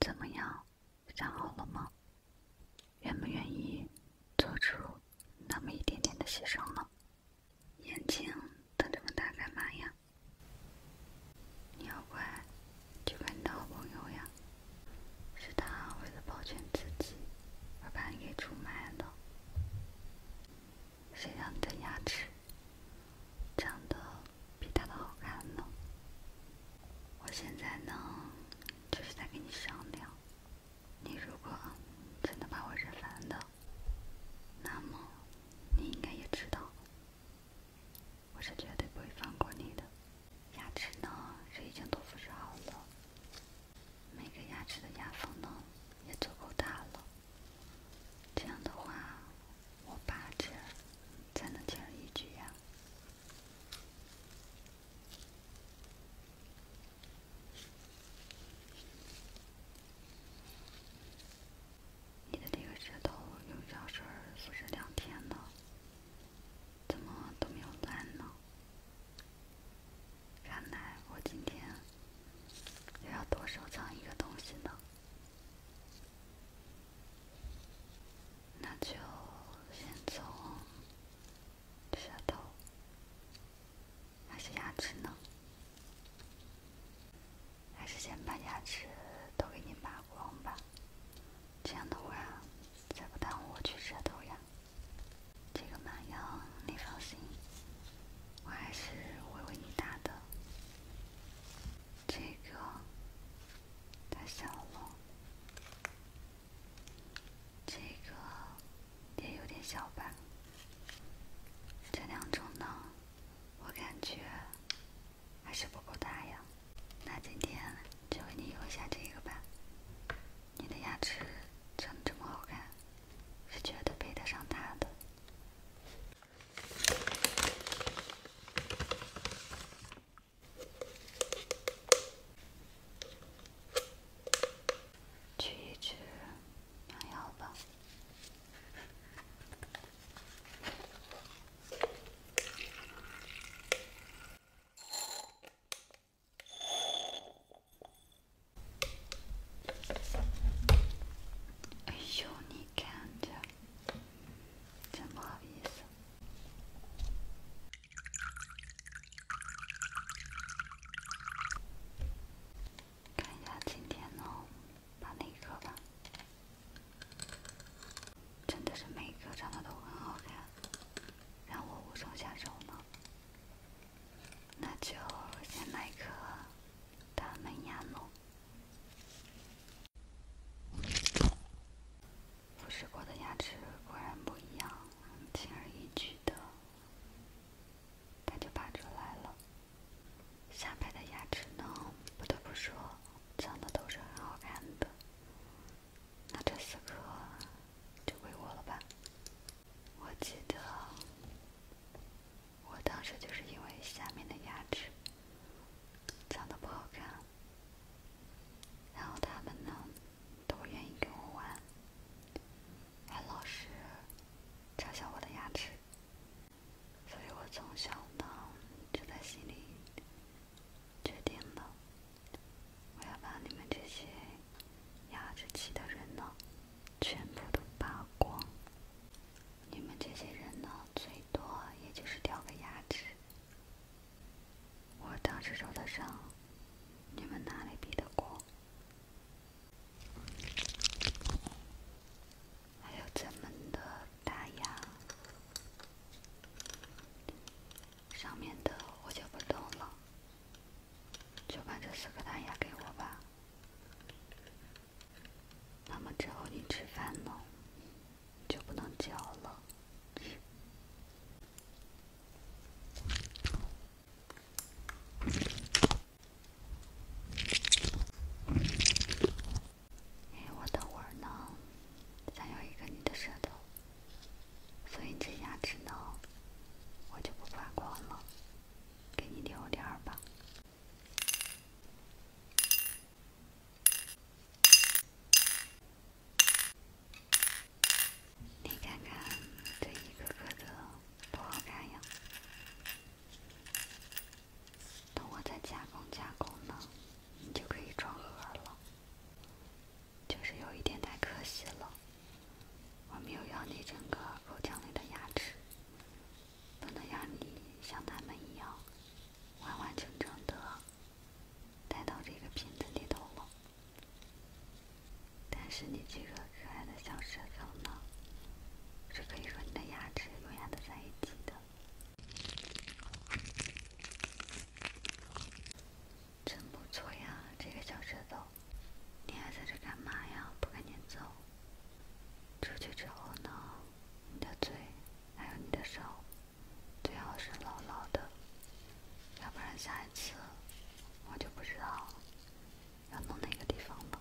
怎么样，想好了吗？愿不愿意做出那么一点点的牺牲呢？眼睛瞪这么大干嘛呀？你要乖，就乖你的好朋友呀。是他为了保全自己，而把你给出卖了。谁让你的牙齿长得比他的好看呢？我现在呢，就是在跟你商量。你如果真的把我惹烦的，那么你应该也知道，我是绝对不会放过你的。牙齿呢，已经都复诊好了。每个牙齿的牙缝呢，也足够大了。这样的话，我拔这才能轻而易举呀。你的这个舌头用胶水复诊两天呢。怎么都没有烂呢？看来我今天又要多收藏一个东西呢。那就先从舌头，还是牙齿呢？还是先把牙齿都给你拔光吧，这样的话。再不耽误我去舌头呀！这个满羊，你放心，我还是会为你打的。这个太小了，这个也有点小吧？这两种呢，我感觉还是不够大呀。那今天就为你用一下这个吧。你的牙齿长得这么好看，是觉得配得上它的？去一去牙膏吧。哎呦，你看这，这毛意思？看一下今天呢，把那个吧。真的是每一颗长得都很好看，让我无从下手呢。那就先来一颗大门牙弄。腐蚀过的牙齿果然不一样，轻而易举的，它就拔出来了。下排的牙齿呢，不得不说，长得都是很好看的。那这四颗就归我了吧。我记得我当时就是因为下面的牙齿长得不好看，然后他们呢都不愿意跟我玩，很老实嘲笑我的牙齿，所以我从小呢就在心里。决定了，我要把你们这些牙齿齐的人呢，全部都拔光。你们这些人呢，最多也就是掉个牙齿。我当时受的伤，你们哪里比得过？还有咱们的大牙，上面的我就不动了，就把这四颗大牙给我吧。那么之后你吃饭呢，就不能嚼了。哎，我等会儿呢，想要一个你的舌头，所以这牙齿呢，我就不发光了，给你留点儿吧。你看看这一个个的，不好看呀。等我再加工加工呢，你就可以装盒了。就是有一点太可惜了，我没有要你整个口腔里的牙齿，不能让你像他们一样完完整整的带到这个瓶子里头了。但是你这个可爱的小舌头呢，是可以和你的牙齿优雅的在一起的。真不错呀，这个小舌头！你还在这干嘛呀？不赶紧走？出去之后呢，你的嘴还有你的手，最好是牢牢的，要不然下一次我就不知道要弄哪个地方了。